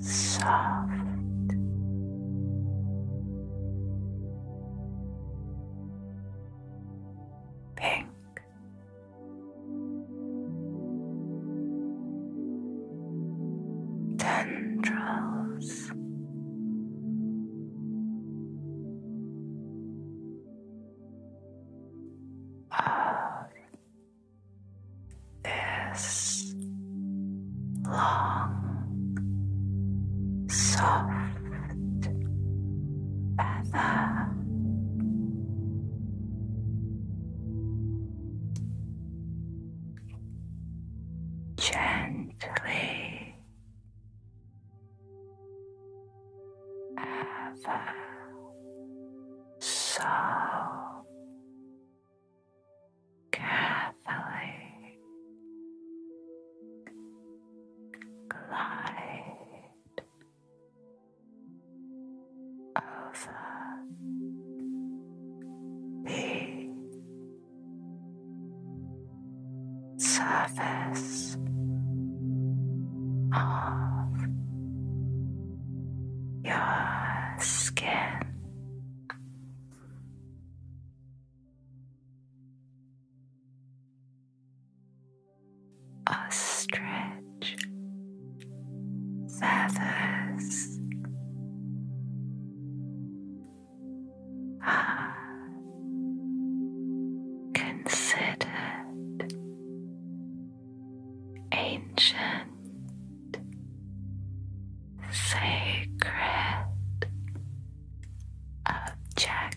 the soft pink Tendrils. Of this long, soft feather Gently ever so carefully glide over the surface of your skin. A stretch. feathers. Are considered ancient, sacred objects.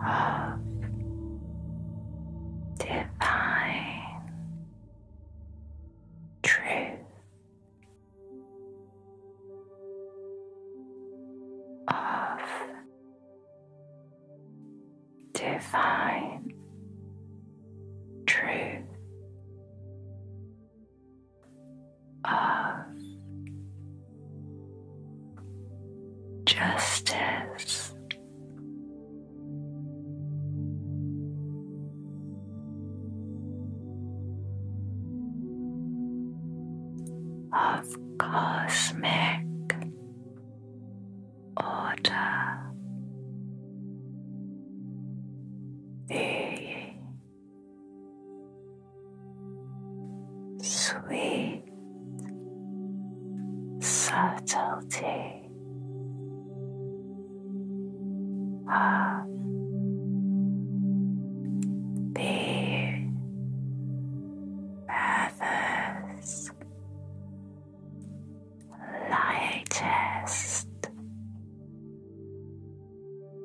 of divine truth. Of divine truth of justice. Of cosmic order, the sweet subtlety of the lightest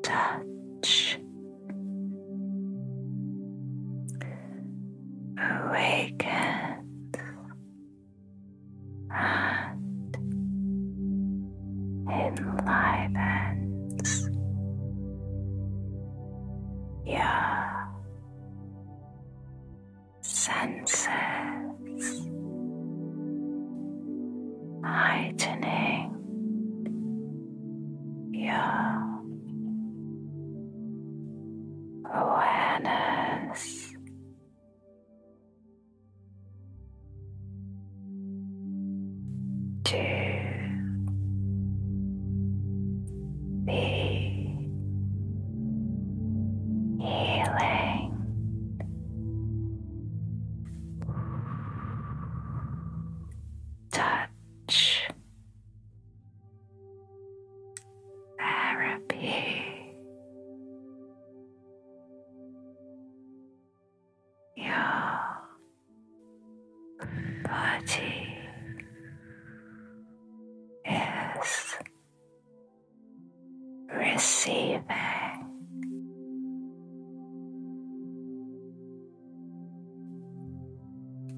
touch Awaken and enlivens your senses, heightening your awareness. To the healing touch therapy. Your body is receiving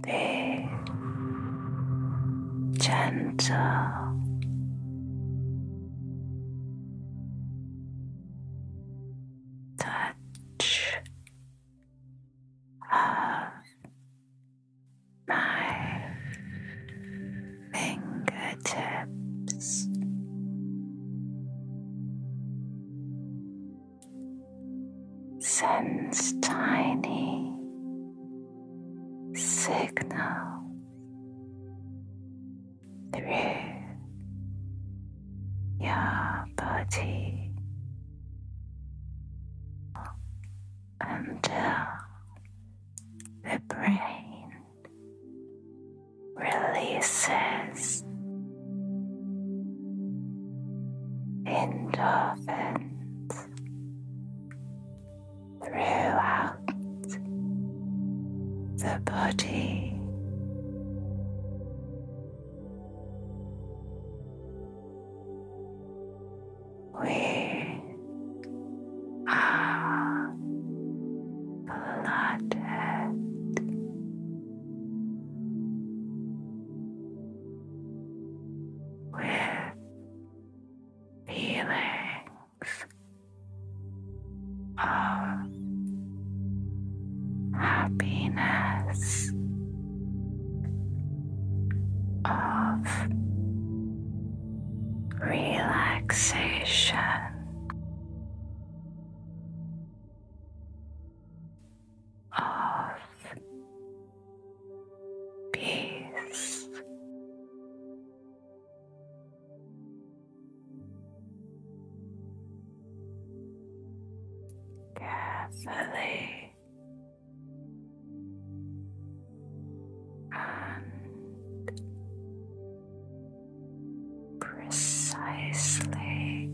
Big, gentle, touch of my fingertips sends tiny signal through your body until the brain releases endorphins throughout the body. We are blooded with feelings of happiness, of relaxation of peace. Carefully and precisely.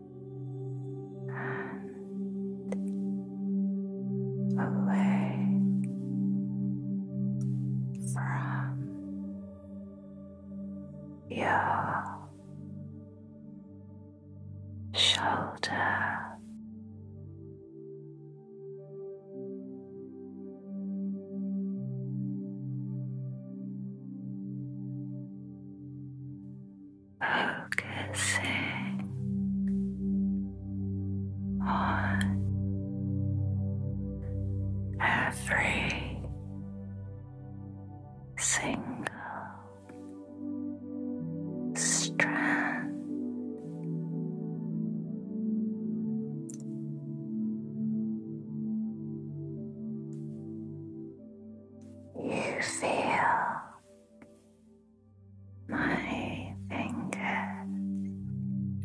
and away from your shoulder focusing on every single strand you feel my fingers move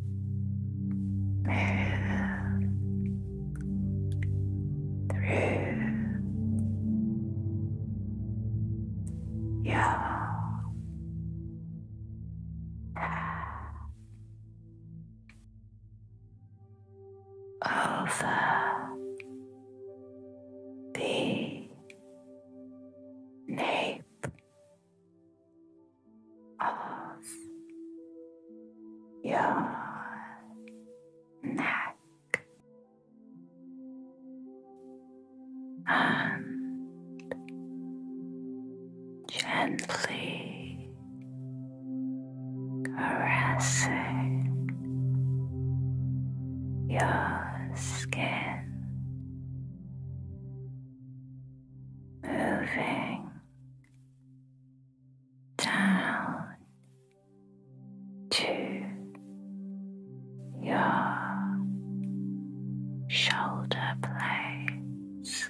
through your path over the nape of your neck and gently caressing your skin moving down to your shoulder blades.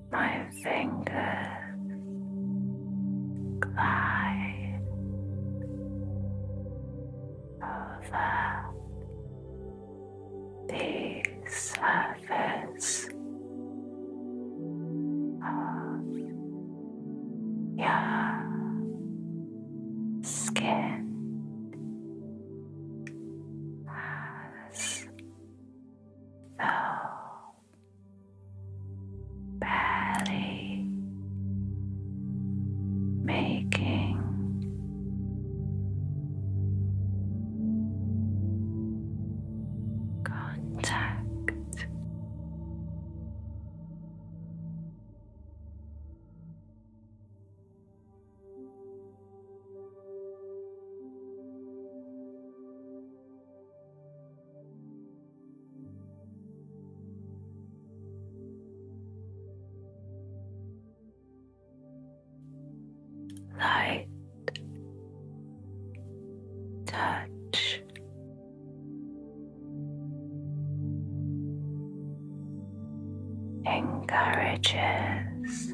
My fingers glide over the surface of your skin. As though barely making contact light, touch. Encourages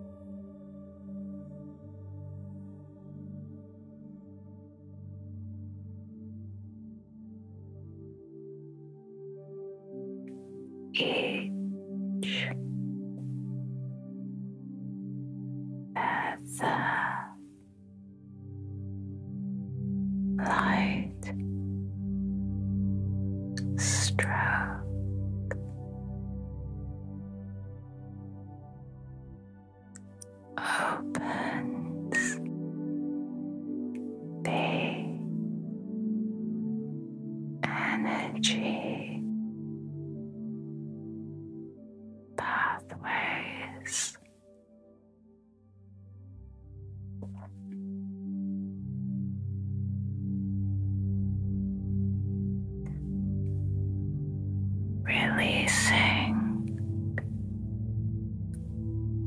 As a light stroke opens the energy pathways Releasing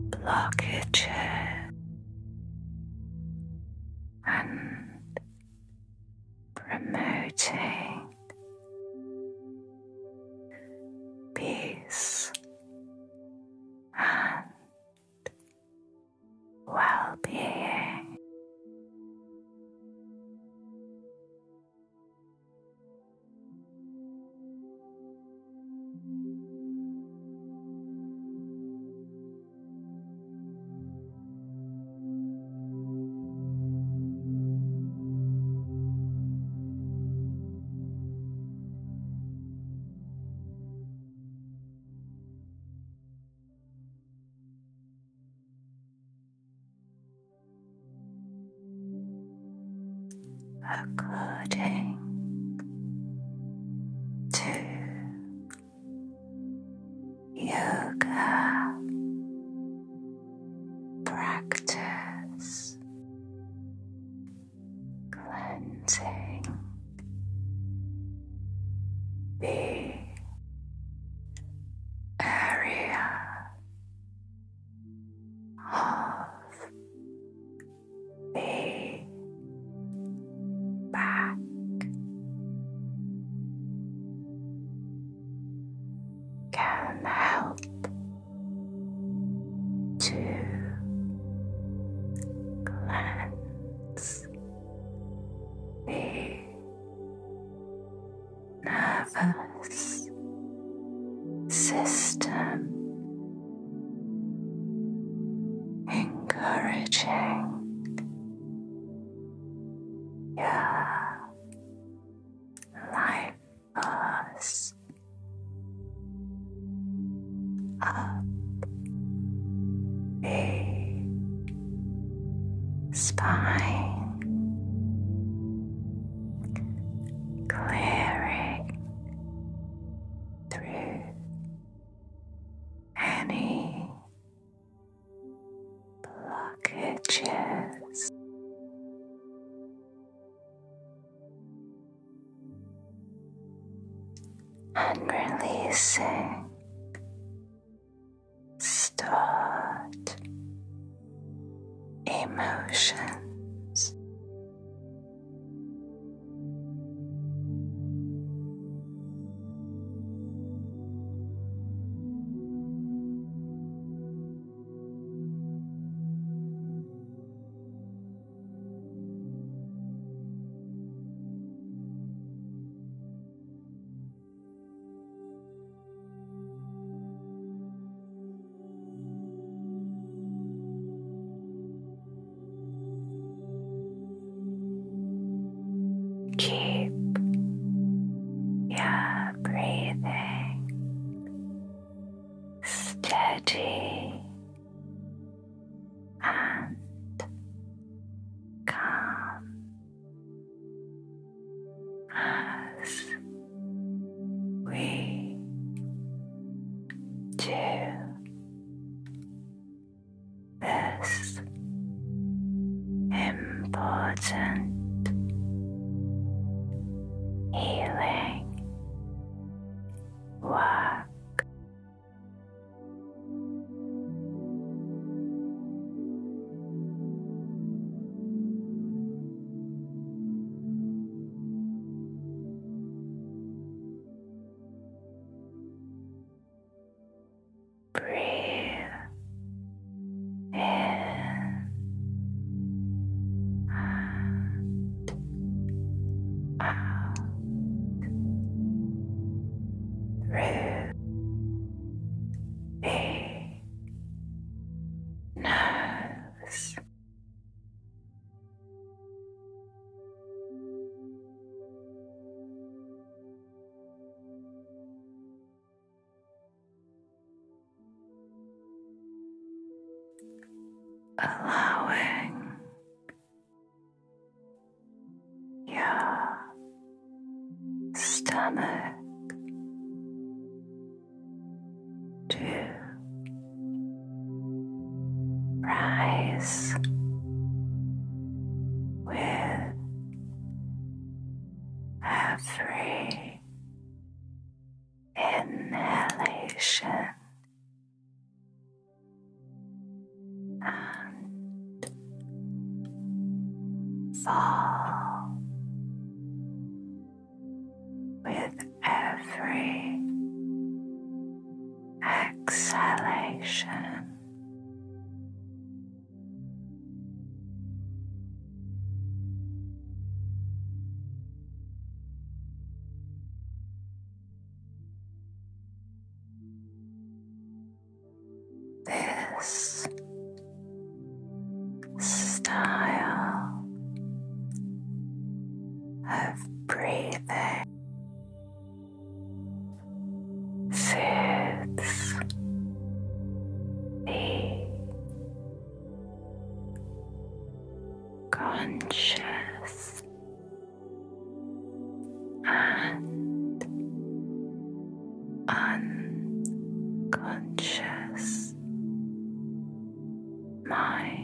blockages and promoting peace and well being according to yoga practice cleansing the area of the back. Can help to cleanse nervous system encouraging your life force up, big spine, clearing through any blockages and releasing. Start emotions. Keep your breathing steady and calm as we do this important healing work. Breathe in and out through the nose. Allowing your stomach to rise with every inhalation and fall with every exhalation. This style of breathing sits the conscious and unconscious mind.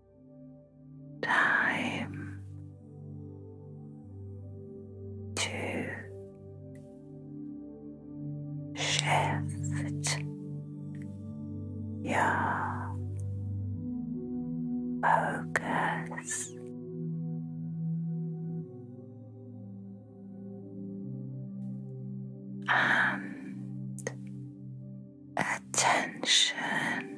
time to shift your focus. And attention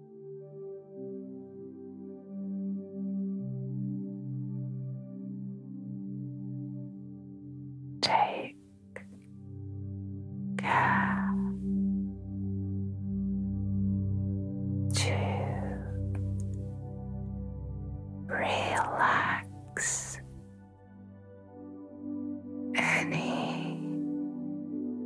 Take care to relax any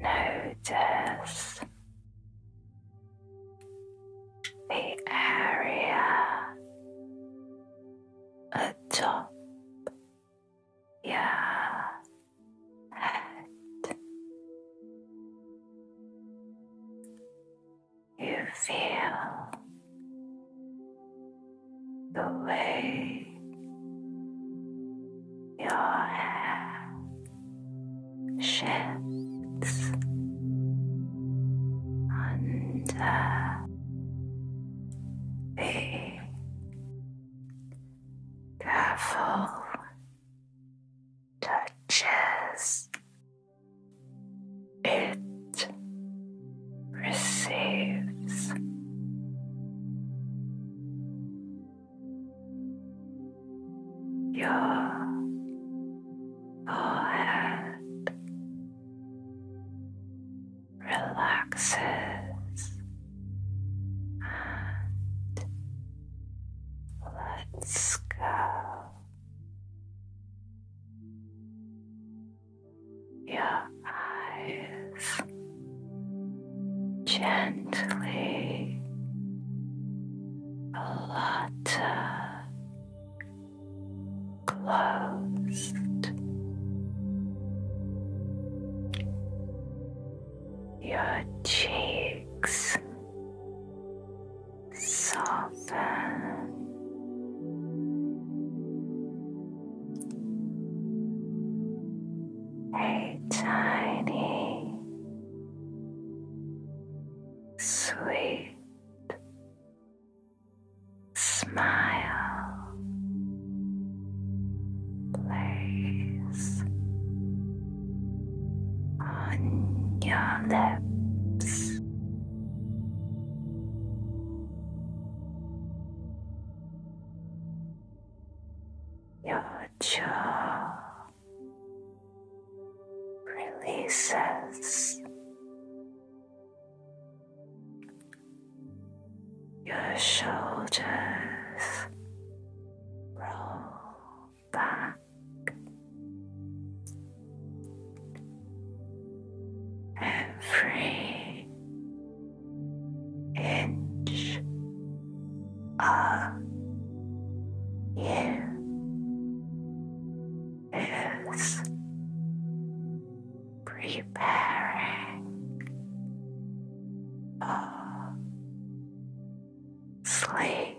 Notice the area atop your head. You feel the way your hair shifts under be careful touches it receives. Your forehead relaxes and let's go your eyes gently flutter closed. Your cheeks soften a tiny, sweet smile plays on your lips. Your jaw releases. Your shoulders roll back, every and of uh, you is preparing for uh, sleep.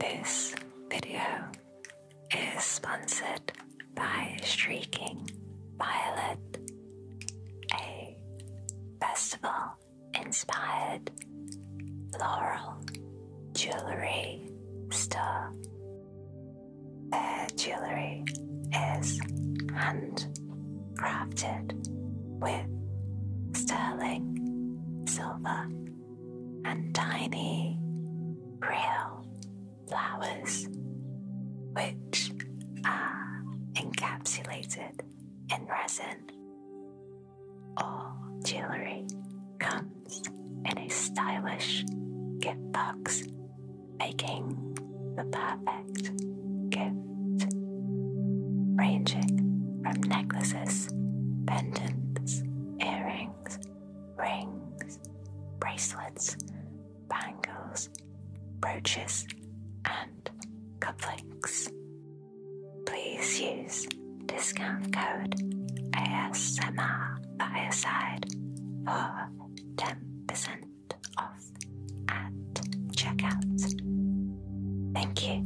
This video is sponsored by Streaking Violet, a festival inspired floral jewelry store. Their jewelry is hand crafted with sterling silver and tiny real flowers, which are encapsulated in resin. All jewelry comes in a stylish gift box, making the perfect perfect ranging from necklaces, pendants, earrings, rings, bracelets, bangles, brooches, and cufflinks. Please use discount code ASMR by side for 10% off at checkout. Thank you.